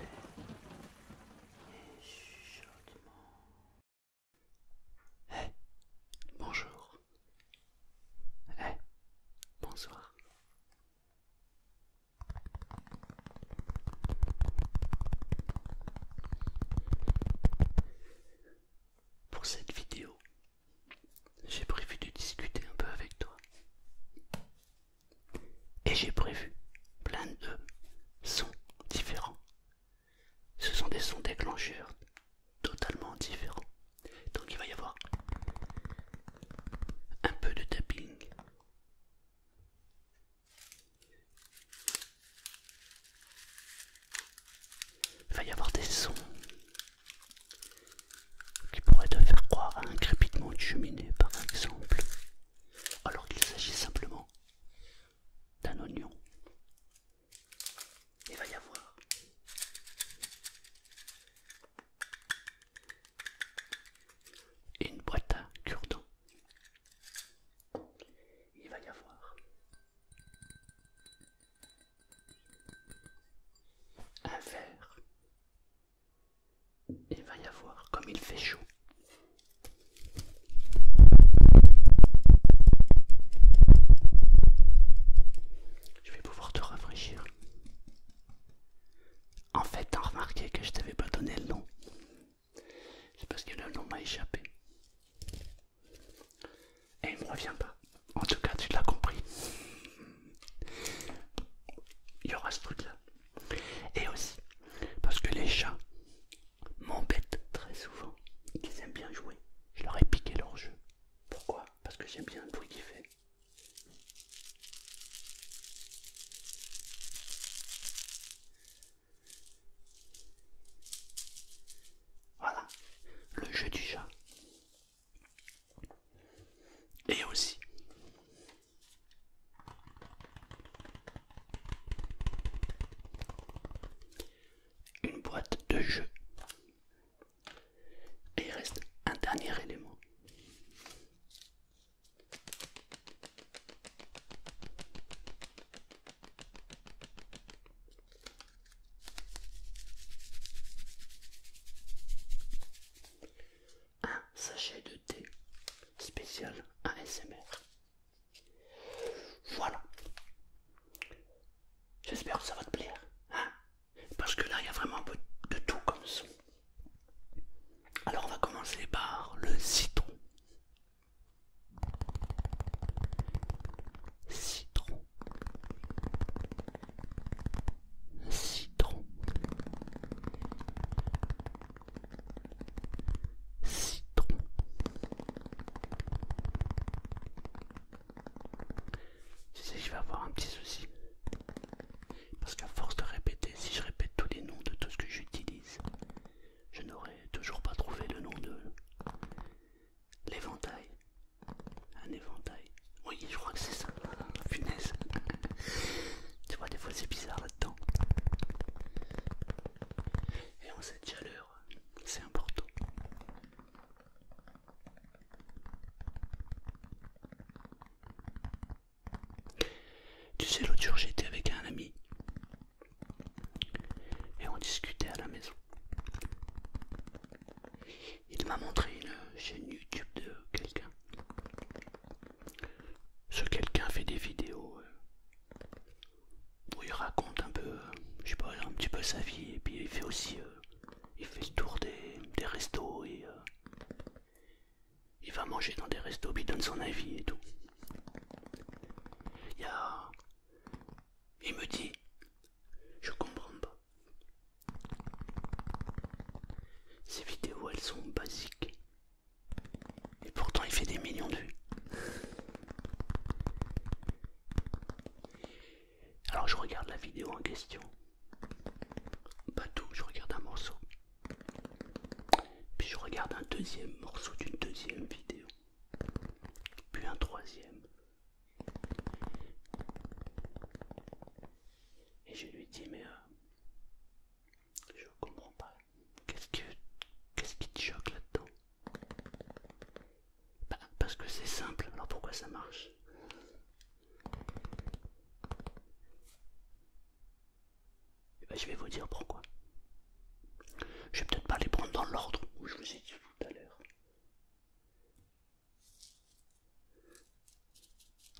et Eh, bonjour. Eh, bonsoir. Pour cette vidéo, j'ai prévu de discuter un peu avec toi. Et j'ai prévu plein de sons différents. Ce sont des sons déclencheurs totalement différents. Donc il va y avoir un peu de tapping. Il va y avoir des sons qui pourrait te faire croire à un crépitement de cheminée par exemple, alors qu'il s'agit simplement d'un oignon. Il va y avoir une boîte à cure Il va y avoir un verre il va y avoir, comme il fait chaud, je vais pouvoir te rafraîchir. En fait, t'as remarqué que je t'avais pas donné le nom. C'est parce que le nom m'a échappé. Et il me revient pas. En tout cas, tu l'as compris. Il y aura ce truc là. Et aussi parce que les chats m'embêtent très souvent. Ils aiment bien jouer. Je leur ai piqué leur jeu. Pourquoi Parce que j'aime bien le bruit qu'ils fait. Voilà, le jeu du chat. Et aussi une boîte de jeu. Et il reste un dernier élément un sachet de thé spécial ASMR. Voilà. J'espère que ça va te plaire. Hein Parce que là, il y a vraiment un peu de tout comme son. Alors, on va commencer par le citron. Citron citron, citron, je sais je vais avoir un petit souci parce qu'à force de répéter, si je répète tous les noms de tout ce que j'utilise, je n'aurai toujours pas trouvé le nom de l'éventail. Un éventail. Oui, je crois que c'est ça. Punaise. Tu vois, des fois c'est bizarre là-dedans. Et on cette chaleur, c'est important. Tu sais, l'autre jour j'étais avec un ami et on discutait à la maison. Il m'a montré une chaîne YouTube de quelqu'un. Ce quelqu'un fait des vidéos euh, où il raconte un peu, euh, je sais pas, un petit peu sa vie et puis il fait aussi, euh, il fait le tour des, restos et il va manger dans des restos, puis il donne son avis et tout. Il me dit, je comprends pas. Ces vidéos, elles sont basiques. Et pourtant, il fait des millions de vues. Alors, je regarde la vidéo en question. Pas tout, je regarde un morceau. Puis je regarde un deuxième morceau d'une deuxième vidéo. Puis un troisième. Et je lui dis, mais euh, je comprends pas. Qu'est-ce que, qu'est-ce qui te choque là-dedans bah, Parce que c'est simple, alors pourquoi ça marche eh ben, Je vais vous dire pourquoi. Je vais peut-être pas les prendre dans l'ordre où je vous ai dit tout à l'heure.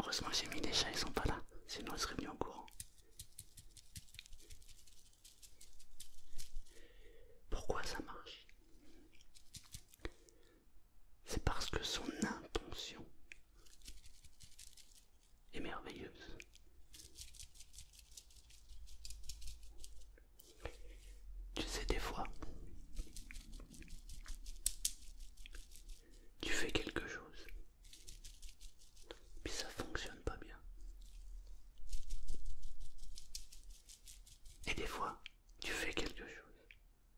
Heureusement j'ai mis des chats, ils sont pas là, sinon ils seraient mis au courant. Pourquoi ça marche C'est parce que son intention est merveilleuse. Tu sais des fois, tu fais quelque chose, mais ça fonctionne pas bien. Et des fois, tu fais quelque chose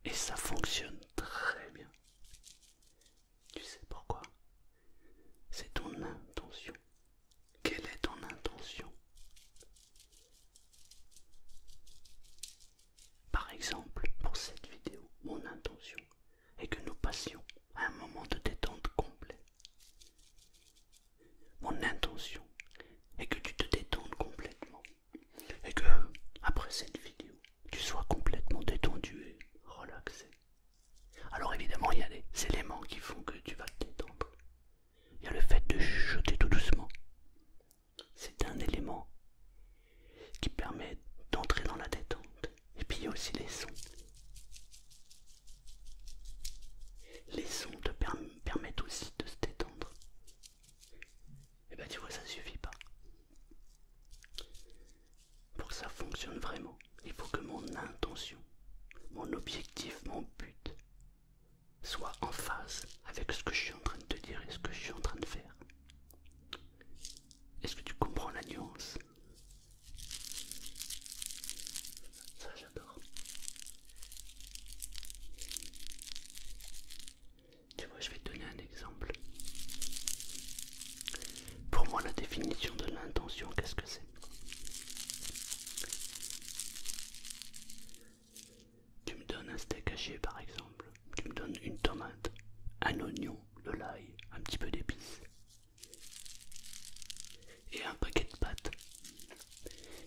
et ça fonctionne très bien. Tu sais pourquoi C'est ton intention. Quelle est ton intention par exemple, pour cette vidéo, mon intention est que nous passions un moment de détente complet. Mon intention est que tu te détendes complètement et que, après cette vidéo, tu sois complètement détendu et relaxé. Alors évidemment, il y a des éléments qui font que tu vas te détendre. Il y a le fait de chuchoter tout doucement, c'est un élément qui permet d'entrer dans la détente. Et puis il y a aussi les sons. Les sons te permettent aussi de se détendre. Et eh bah ben, tu vois, ça suffit pas. Pour que ça fonctionne vraiment, il faut que mon intention, mon objectif, mon but soit en phase avec ce que je suis en train de te dire et ce que je suis en train de faire. Est-ce que tu comprends la nuance Ça, j'adore. Tu vois, je vais te donner un exemple. Pour moi, la définition de l'intention, qu'est-ce que c'est tu me donnes un steak haché par exemple, tu me donnes une tomate, un oignon, de l'ail, un petit peu d'épices et un paquet de pâtes.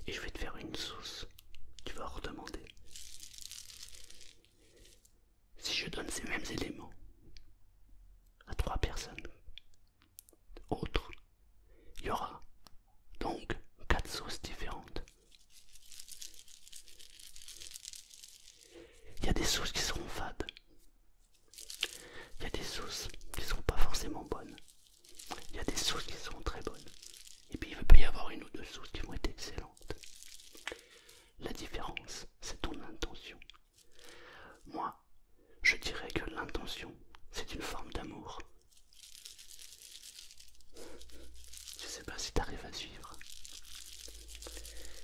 Et je vais te faire une sauce, tu vas redemander. Si je donne ces mêmes éléments à trois personnes autres, il y aura donc quatre sauces différentes. Il y a des sauces qui seront fades. Il y a des sauces qui ne sont pas forcément bonnes. Il y a des sources qui seront très bonnes. Et puis il peut y avoir une ou deux sources qui vont être excellentes. La différence, c'est ton intention. Moi, je dirais que l'intention, c'est une forme d'amour. Je sais pas si t'arrives à suivre.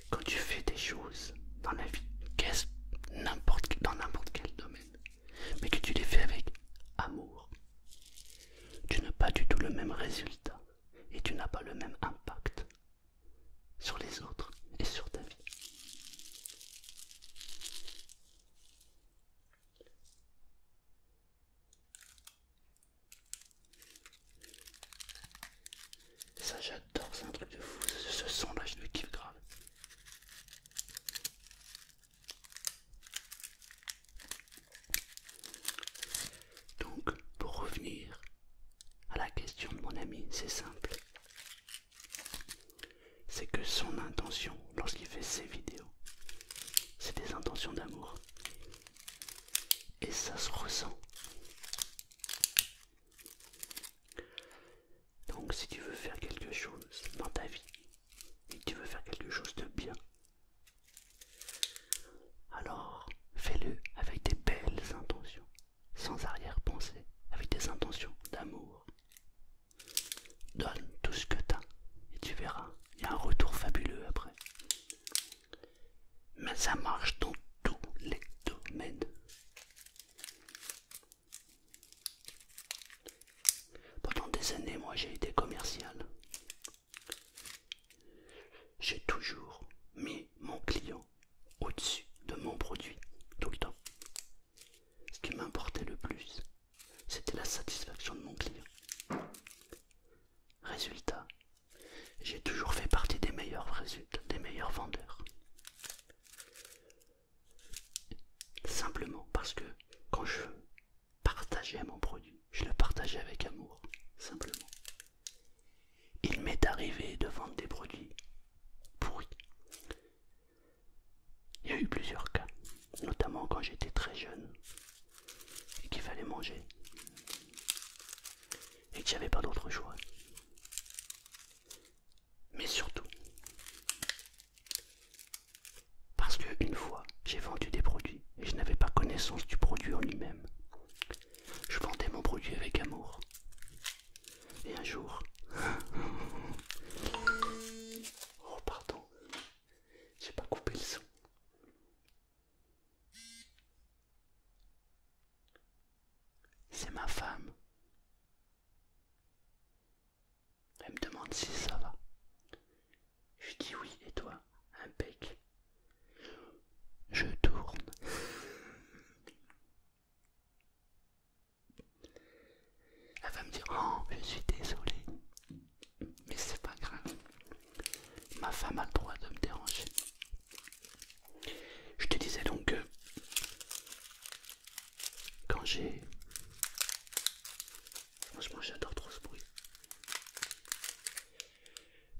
Quand tu fais des choses dans la vie, quest n'importe dans n'importe quel domaine, mais que tu les fais avec amour, tu n'as pas du tout le même résultat et tu n'as pas le même impact sur les autres et sur ta vie. Ça j'adore, c'est un truc de fou, ce son là je le kiffe grave. Donc pour revenir à la question de mon ami, c'est simple. C'est que son intention lorsqu'il fait ses vidéos, c'est des intentions d'amour. Et ça se ressent. Donc si tu veux faire quelque chose dans ta vie, et tu veux faire quelque chose de bien, alors fais-le avec des belles intentions, sans arrière-pensée, avec des intentions d'amour. Donne tout ce que tu as et tu verras, il y a un retour fabuleux après. Mais ça marche dans tous les domaines. Pendant des années, moi j'ai été commercial. J'ai toujours mis mon client au-dessus de mon produit, tout le temps. Ce qui m'importait le plus, c'était la satisfaction de mon client. Résultat, j'ai toujours fait partie des meilleurs résultats, des meilleurs vendeurs. Simplement parce que quand je partageais mon produit, je le partageais avec amour, simplement. Il m'est arrivé de vendre des produits pourris. Il y a eu plusieurs cas, notamment quand j'étais très jeune, et qu'il fallait manger et qu'il n'y avait pas d'autre choix. Mais surtout, parce que qu'une fois, j'ai vendu des produits et je n'avais pas connaissance du produit en lui-même. Je vendais mon produit avec amour. Et un jour... oh pardon, j'ai pas coupé le son. C'est ma femme. Elle me demande si ça va. Je dis oui, et toi Impec. Je tourne. Elle va me dire, oh, je suis désolée. Mais c'est pas grave. Ma femme a le droit de me déranger. Je te disais donc que quand j'ai... Franchement j'adore trop ce bruit.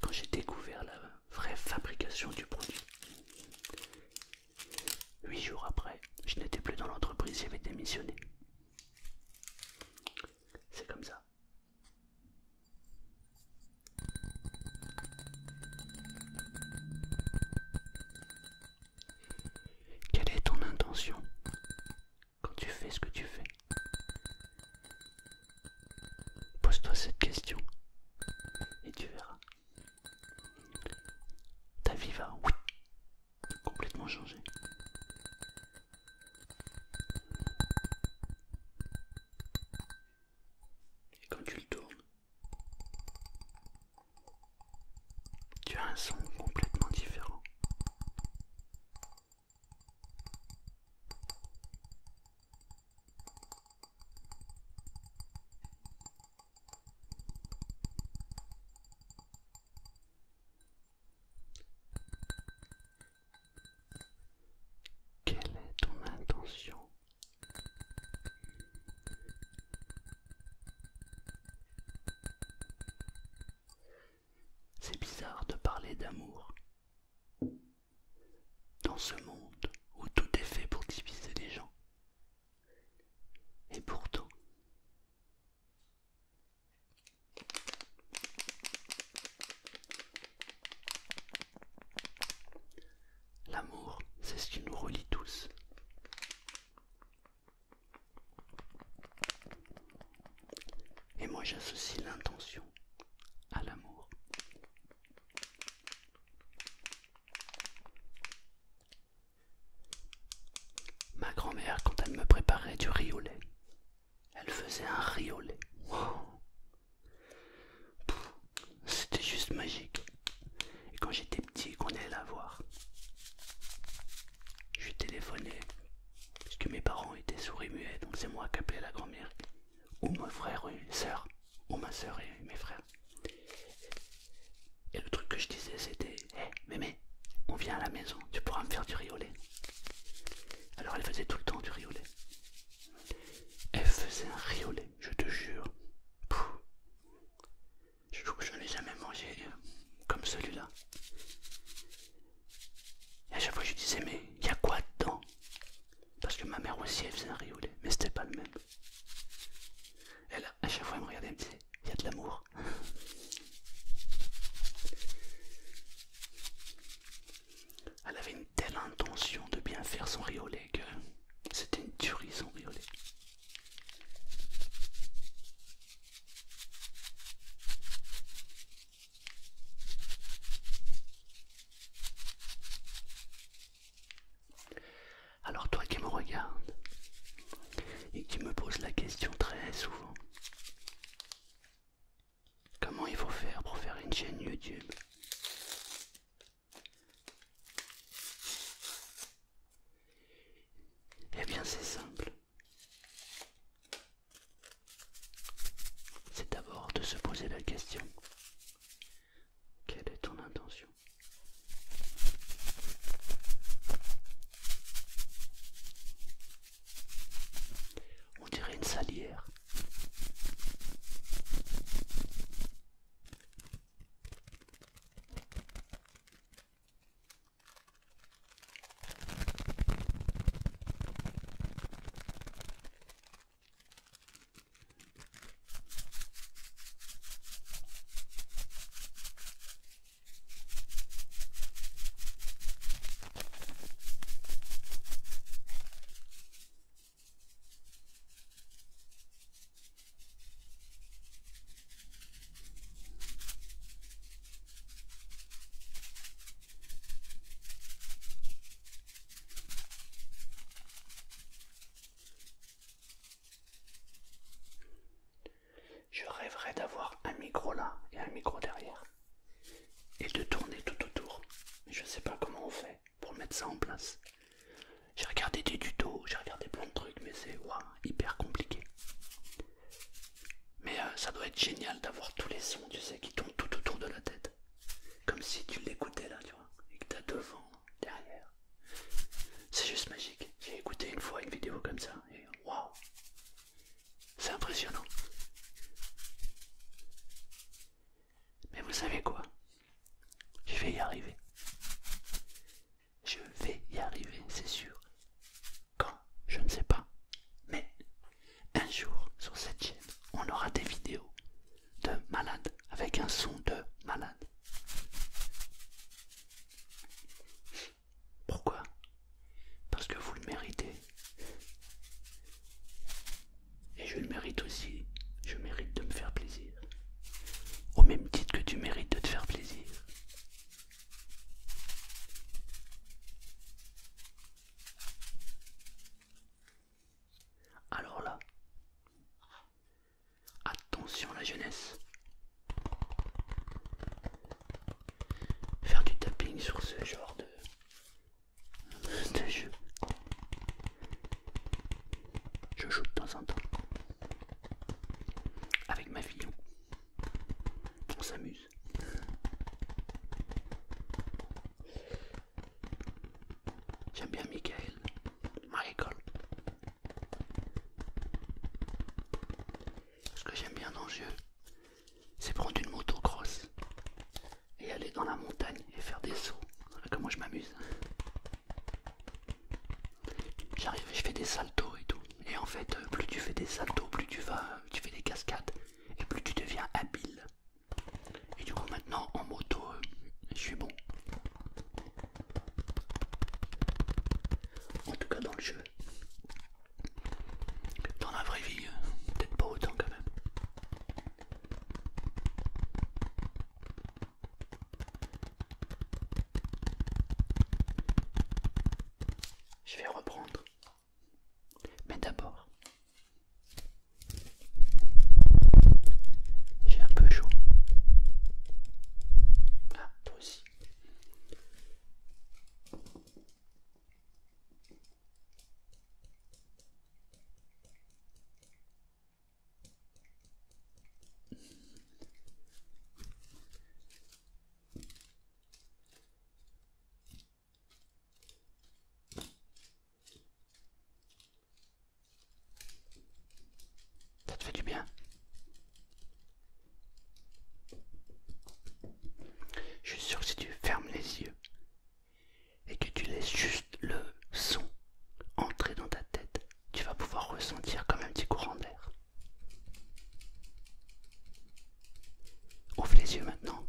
Quand j'ai découvert la vraie fabrication du produit, huit jours après, je n'étais plus dans l'entreprise, j'avais démissionné. C'est comme ça. Quelle est ton intention quand tu fais ce que tu fais Pose-toi cette question et tu verras. Ta vie va complètement changer. Et quand tu le tournes, tu as un son complètement différent. Quelle est ton intention C'est bizarre de parler d'amour. Dans ce monde où tout est fait pour diviser les gens. Et pourtant, L'amour, c'est ce qui nous relie tous. Et moi j'associe l'intention à l'amour. Ma grand-mère, quand elle me préparait du riz au lait, elle faisait un riolet. C'était juste magique. Et quand j'étais petit qu'on allait la voir, je téléphonais. Parce que mes parents étaient souris muets, donc c'est moi qui appelais la grand-mère. Ou mon frère, ou une soeur. Ou ma soeur et mes frères. Et le truc que je disais, c'était Hé, eh, mémé, on vient à la maison, tu pourras me faire du riolet. Alors elle faisait tout le temps du riolet. Elle faisait un riolet, je te jure. Je trouve que je n'ai jamais mangé euh, comme celui-là. Et à chaque fois je disais mais il y a quoi dedans Parce que ma mère aussi elle faisait un riolet, mais c'était pas le même. Elle à chaque fois elle me regardait et me disait il y a de l'amour. Elle avait une telle intention de bien faire son riolet que c'était une tuerie son riolet. Alors toi qui me regardes et qui me poses la question très souvent, Comment il faut faire pour faire une chaîne YouTube Eh bien c'est simple. C'est d'abord de se poser la question. Quelle est ton intention on dirait une salière. Je rêverais d'avoir un micro là et un micro derrière et de tourner tout autour. je sais pas comment on fait pour mettre ça en place. J'ai regardé des tutos, j'ai regardé plein de trucs, mais c'est hyper compliqué. Mais euh, ça doit être génial d'avoir tous les sons, tu sais, qui tournent tout autour de la tête. Comme si tu l'écoutais là, tu vois, et que t'as devant, derrière. C'est juste magique. J'ai écouté une fois une vidéo comme ça, et waouh! C'est impressionnant. Mais vous savez quoi Je vais y arriver. Je vais y arriver, c'est sûr. Quand Je ne sais pas. Mais un jour, sur cette chaîne, on aura des vidéos de malades avec un son de malade. Pourquoi Parce que vous le méritez. Et je le mérite aussi. Je mérite de me faire plaisir. Au même titre que tu mérites de te faire plaisir. Alors là, attention la jeunesse faire du tapping sur ce genre de, jeu. Je joue de temps en temps avec ma fille. On s'amuse. J'aime bien Michael, Michael ce que j'aime bien dans le jeu, c'est prendre une moto et aller dans la montagne et faire des sauts. comme comment je m'amuse. J'arrive et je fais des saltos et tout. Et en fait, euh, plus tu fais des saltos, plus tu vas, euh, tu fais des cascades et plus tu deviens habile. Et du coup, maintenant en moto, euh, je suis bon. En tout cas, dans le jeu, dans la vraie vie, euh, peut-être pas autant quand même. Je vais reprendre. Mais d'abord, j'ai un peu chaud. Ah, toi aussi. Ça te fait du bien je suis sûr que si tu fermes les yeux et que tu laisses juste le son entrer dans ta tête, tu vas pouvoir ressentir comme un petit courant d'air. Ouvre les yeux maintenant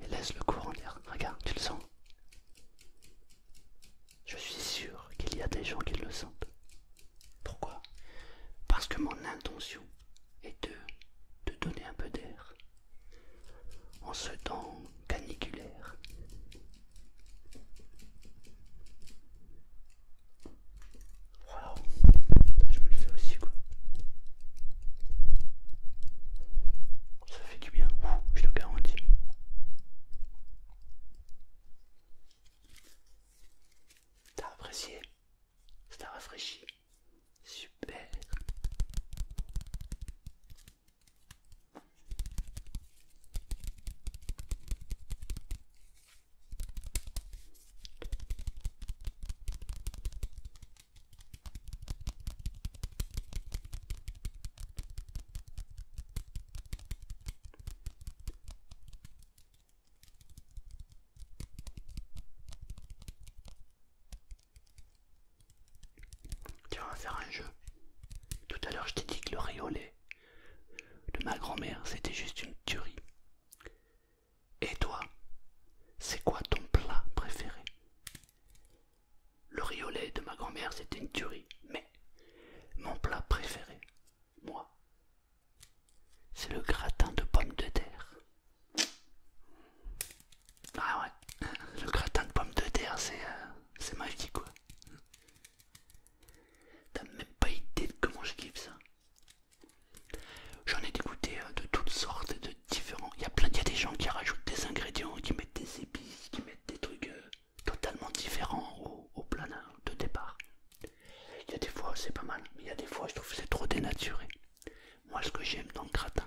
et laisse le courant d'air. Regarde, tu le sens. Je suis sûr qu'il y a des gens qui le sentent. Pourquoi Parce que mon intention est de te donner un peu d'air en ce temps caniculaire. Waouh, je me le fais aussi quoi. Ça fait du bien, je te garantis. T'as apprécié ça rafraîchit. Super. Tiens, on faire un jeu. Tout à l'heure, je t'ai dit que le riolet de ma grand-mère, c'était juste une tuerie. Et toi, c'est quoi ton plat préféré Le riolet de ma grand-mère, c'était une tuerie. Mais mon plat préféré, moi, c'est le gratin de pommes de terre. Ah ouais, le gratin de pommes de terre, c'est ma euh, magique quoi. T'as même pas idée de comment je kiffe ça. J'en ai dégoûté euh, de toutes sortes et de différents. Il y a plein, des gens qui rajoutent des ingrédients, qui mettent des épices, qui mettent des trucs euh, totalement différents au, au de départ. Il y a des fois c'est pas mal, mais il y a des fois je trouve c'est trop dénaturé. Moi ce que j'aime dans le gratin,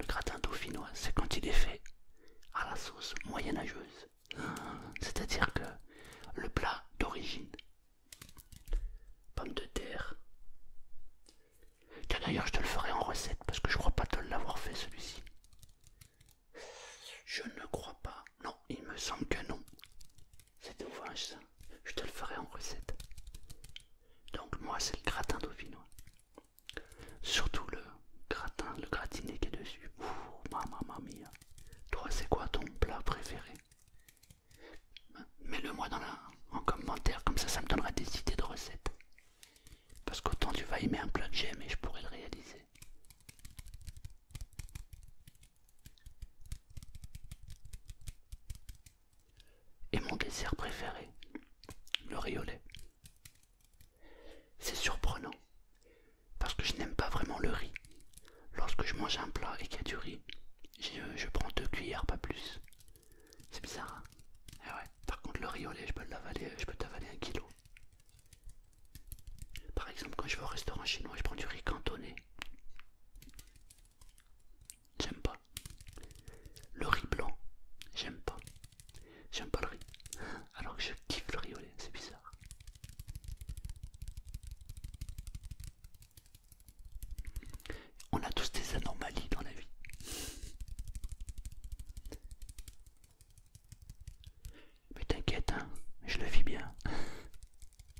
le gratin dauphinois, c'est quand il est fait à la sauce moyenâgeuse. C'est-à-dire que le plat d'origine, pommes de terre. d'ailleurs je te le ferai en recette parce que je crois pas te l'avoir fait celui-ci. Je ne crois pas. Non, il me semble que non. c'est ouvrage ça je te le ferai en recette. Donc moi c'est le gratin dauphinois. Surtout le gratin, le gratiné qui est dessus. Ouh, mamma mia. Toi c'est quoi ton plat préféré Mets-le moi dans la, en commentaire, comme ça ça me donnera des idées de recettes. Parce qu'autant tu vas aimer un plat de j'aime et je pourrais le réaliser. Et mon dessert préféré, le riolet. C'est surprenant, parce que je n'aime pas vraiment le riz. Lorsque je mange un plat et qu'il y a du riz, je, prends deux cuillères, pas plus. C'est bizarre. Hein. Eh par contre, le riolet, je peux l'avaler, je peux t'avaler un kilo. Par exemple, quand je vais au restaurant chinois, je prends du riz cantonné. J'aime pas. Le riz blanc, j'aime pas. J'aime pas le riz. Alors que je kiffe le riz au c'est bizarre. On a tous des anomalies dans la vie. Mais t'inquiète, hein, je le vis bien.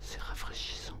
C'est rafraîchissant.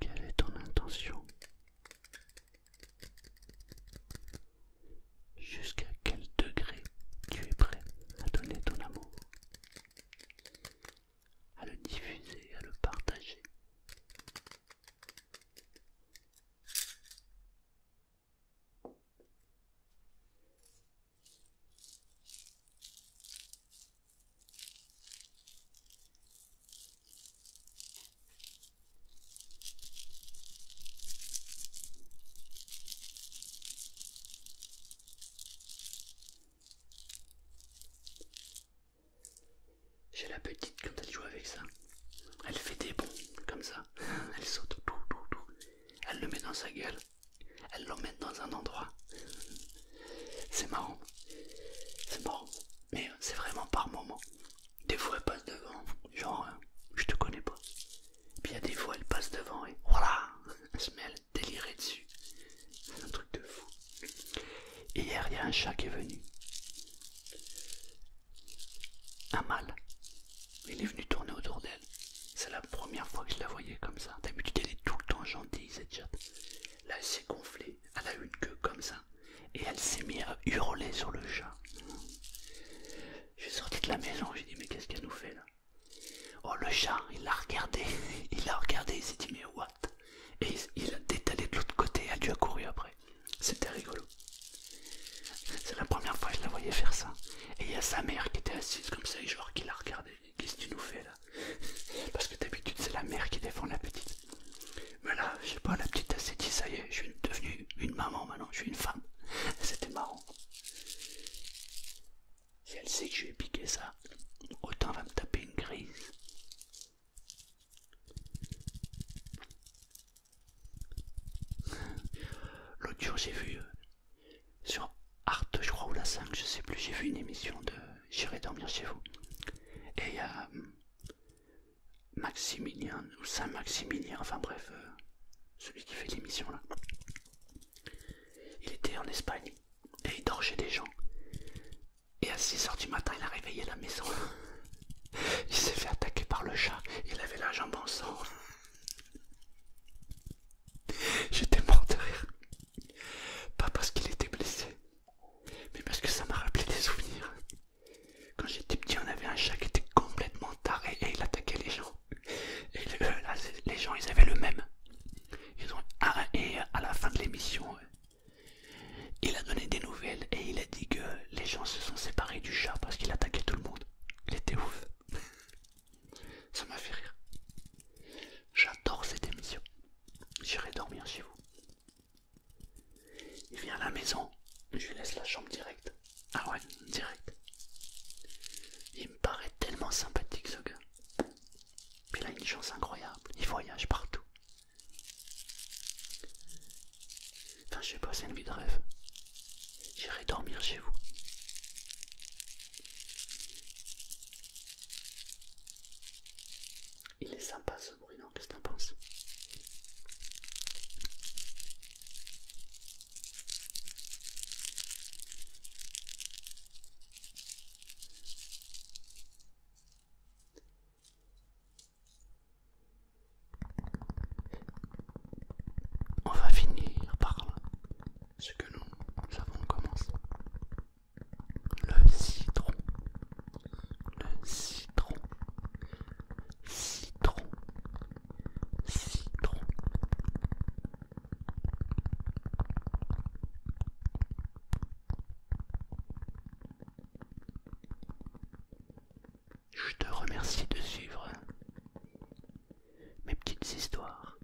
Quelle est ton intention Jusqu'à quel degré tu es prêt à donner ton amour à le diffuser, à le partager. J'ai la petite quand elle joue avec ça. Elle fait des bons comme ça. Elle saute. tout tout Elle le met dans sa gueule. Elle l'emmène dans un endroit. C'est marrant. C'est marrant. Mais c'est vraiment par moment. Des fois elle passe devant. Genre, euh, je te connais pas. Puis il y a des fois elle passe devant et voilà. Elle se met à délirer dessus un truc de fou. hier, il y a un chat qui est venu. Un mâle. Il est venu tourner autour d'elle. C'est la première fois que je la voyais comme ça. D'habitude, elle est tout le temps gentille, cette chatte. Là, elle s'est gonflée. Elle a une queue comme ça. Et elle s'est mise à hurler sur le chat. Je suis sorti de la maison. J'ai dit, mais qu'est-ce qu'elle nous fait là Oh, le chat, il l'a regardé. Il l'a regardé. Il s'est dit, mais what et il a détalé de l'autre côté et a dû après. C'était rigolo. C'est la première fois que je la voyais faire ça. Et il y a sa mère qui était assise comme ça et genre qui la regardait. Qu'est-ce que tu nous fais là Parce que d'habitude c'est la mère qui défend la petite. Mais là, je sais pas, la petite elle s'est dit ça y est, je suis devenue une maman maintenant, je suis une femme. C'était marrant. Si elle sait que je vais piquer ça, autant va me taper une grise. L'autre jour, j'ai vu euh, sur art je crois, ou la 5, je sais plus, j'ai vu une émission de J'irai dormir chez vous. Et il y a euh, Maximilien, ou Saint-Maximilien, enfin bref, euh, celui qui fait l'émission là. Il était en Espagne et il dort chez des gens. Et à 6h du matin, il a réveillé la maison. Il s'est fait attaquer par le chat. Il avait la jambe en sang. J'étais mort de rire. Pas parce qu'il était blessé, mais parce que ça m'a rappelé des souvenirs. Quand j'étais petit, on avait un chat qui était complètement taré et il attaquait les gens. Et euh, les gens, ils avaient le même. Ils ont, et à la fin de l'émission, il a donné des nouvelles et il a dit que les gens se sont séparés du chat parce qu'il attaquait tout le monde. Il était ouf. Ça m'a fait rire. J'adore cette émission. J'irai dormir chez vous. Il vient à la maison, je lui laisse la chambre directe. Ah ouais, direct. Il me paraît tellement sympathique ce gars. Puis il a une chance incroyable, il voyage partout. Enfin, je vais pas, une vie de rêve. J'irai dormir chez vous. Il est sympa ce bruit, non Qu'est-ce que en penses on va finir par ce que nous avons commencé. Le citron. Le citron. Citron. Citron. Je te remercie de suivre mes petites histoires.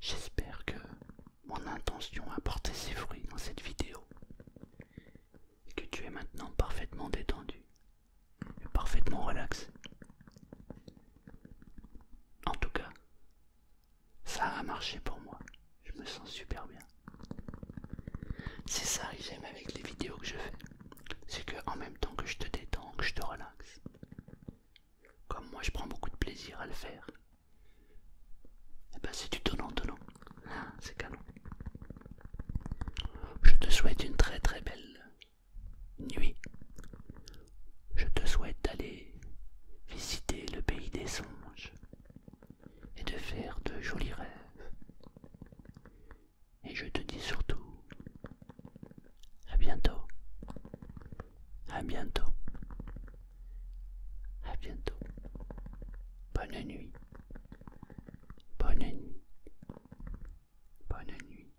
J'espère que mon intention a porté ses fruits dans cette vidéo et que tu es maintenant parfaitement détendu et parfaitement relaxé. En tout cas, ça a marché pour moi. Je me sens super bien. C'est ça que j'aime avec les vidéos que je fais. C'est que en même temps que je te détends, que je te relaxe. Comme moi je prends beaucoup de plaisir à le faire. Et eh ben c'est du donnant-donnant. Ah, c'est canon. Je te souhaite une très très belle nuit je te souhaite d'aller visiter le pays des songes et de faire de jolis rêves. Et je te dis surtout à bientôt, à bientôt, à bientôt. Bonne nuit, bonne nuit, bonne nuit.